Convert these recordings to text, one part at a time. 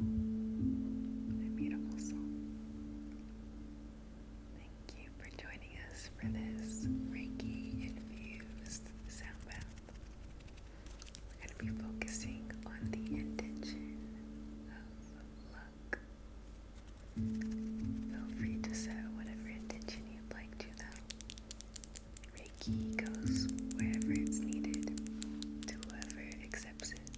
A beautiful song. Thank you for joining us for this Reiki infused sound bath. We're going to be focusing on the intention of luck. Feel free to set whatever intention you'd like to, though. Reiki goes wherever it's needed to whoever accepts it.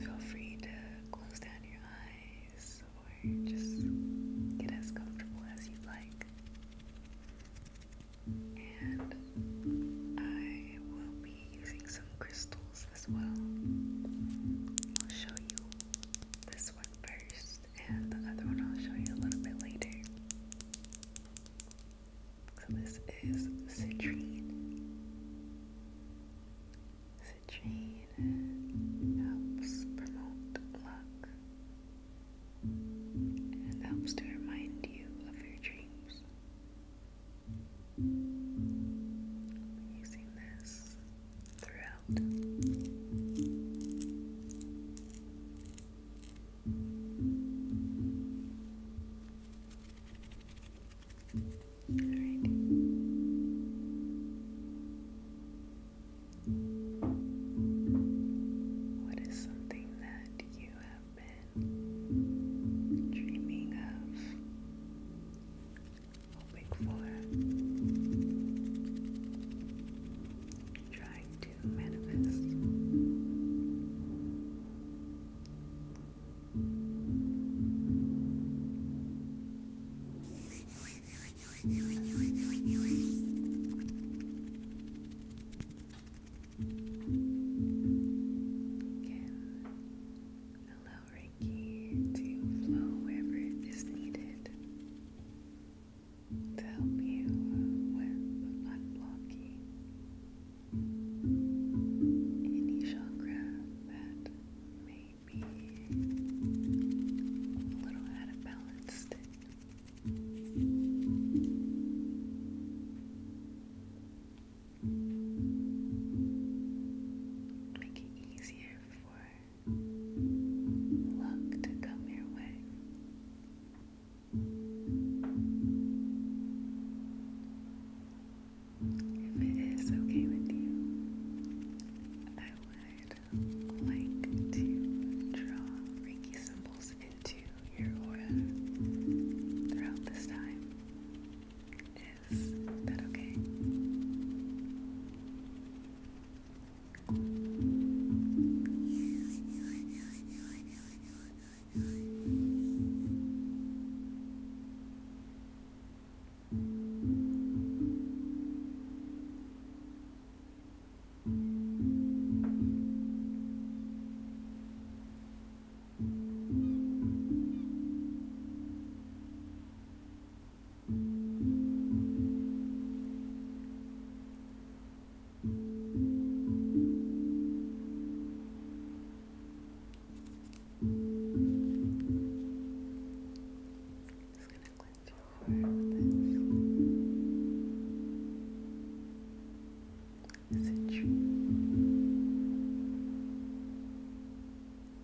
Feel free to close down your eyes or just get as comfortable as you'd like. And I will be using some crystals as well. I'll show you this one first and the other one I'll show you a little bit later. So this is citrine. Citrine helps promote luck and helps to remind you of your dreams. I'm using this throughout. What is something that you have been dreaming of? hoping for, trying to manifest. Can allow Reiki to flow wherever it is needed to help you with unblocking any chakra that may be a little out of balance. Make it easier for luck to come your way. If it is okay with you, I would like to draw Reiki symbols into your aura throughout this time eyes. Is that okay? Just gonna cleanse your heart with this. It's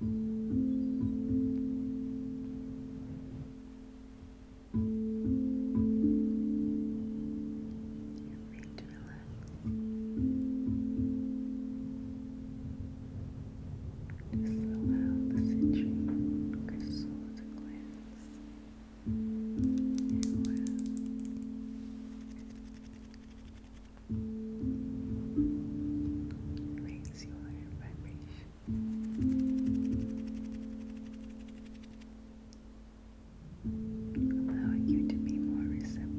You're to relax. Just allow the citrine crystal to cleanse your well. Raise your vibration allowing you to be more receptive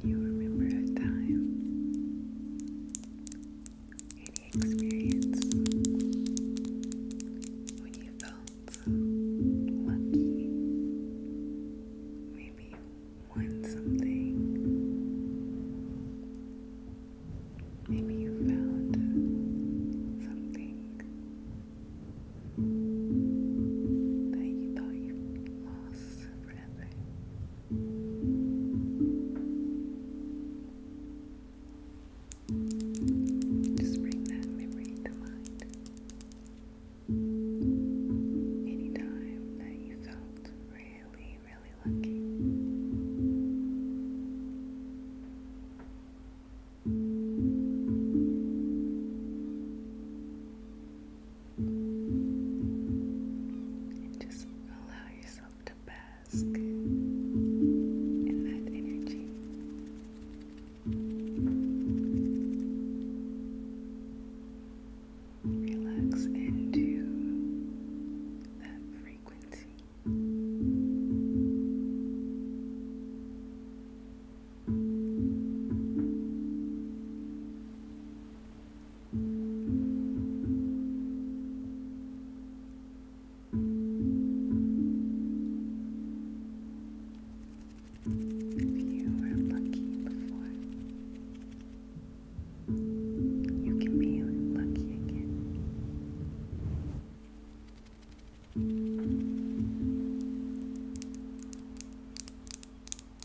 Can you remember a time the experience when you felt lucky. Maybe you won something. Maybe you found something that you thought you lost forever. Just bring that memory to mind. Any time that you felt really, really lucky. And just allow yourself to bask task and that energy. Relax into that frequency. If you were lucky before, you can be lucky again.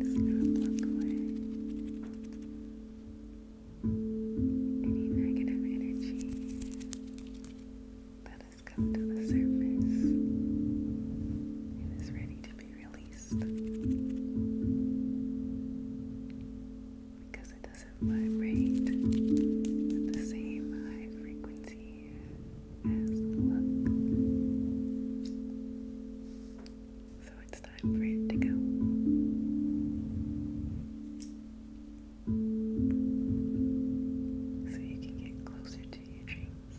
Does not look away. Any negative energy that has come to the surface and ready to be released. Because it doesn't vibrate at the same high frequency as luck. So it's time for it to go. So you can get closer to your dreams.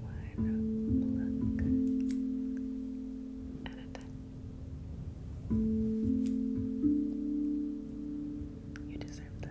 One luck at a time. You deserve that.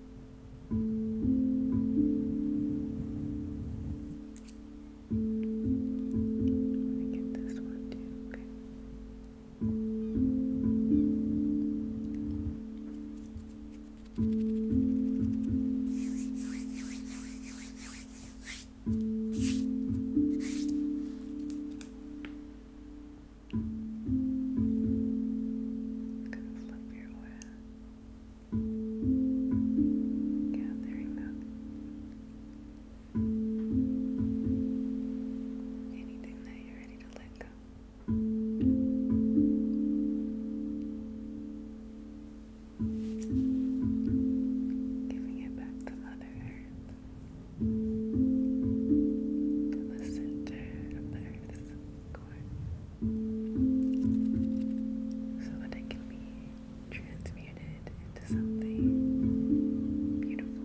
let me get this one too. Okay i Gathering up anything that you're ready to let go. Giving it back to Mother Earth from the center of the Earth's so that it can be transmuted into something beautiful.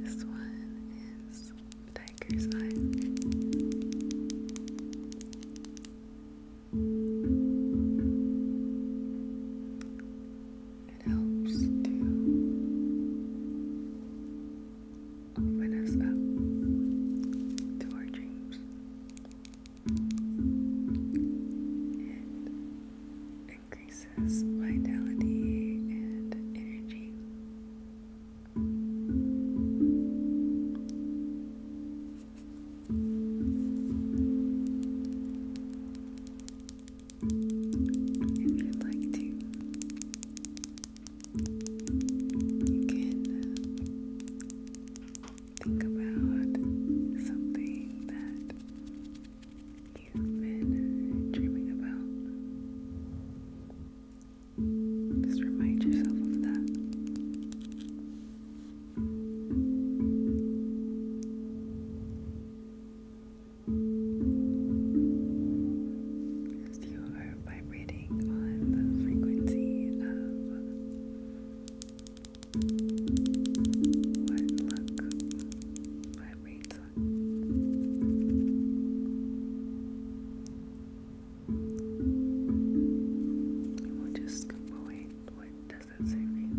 This one is Tiger's Eye. It helps to open us up to our dreams increases vitality and energy. If you'd like to, you can think about something that you've Just remind yourself of that. As you are vibrating on the frequency of what luck vibrates We'll just we'll What does that say mean?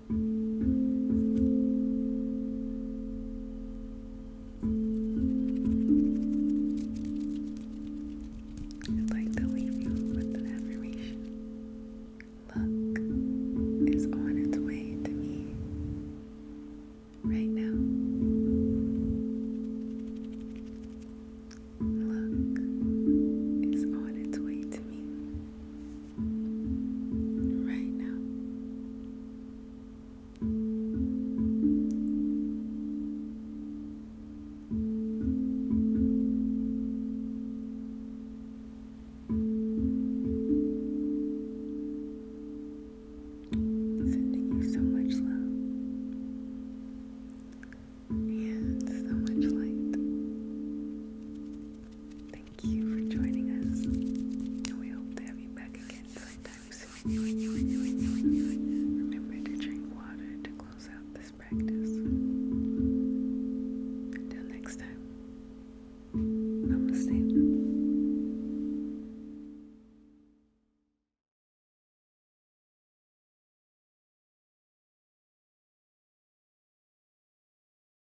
i like to leave you with an affirmation. Luck is on its way to me right now. Luck is on its way to me right Sending you so much love and so much light. Thank you for joining us. we hope to have you back again sometime soon. Remember to drink water to close out this practice. Until next time. Namaste.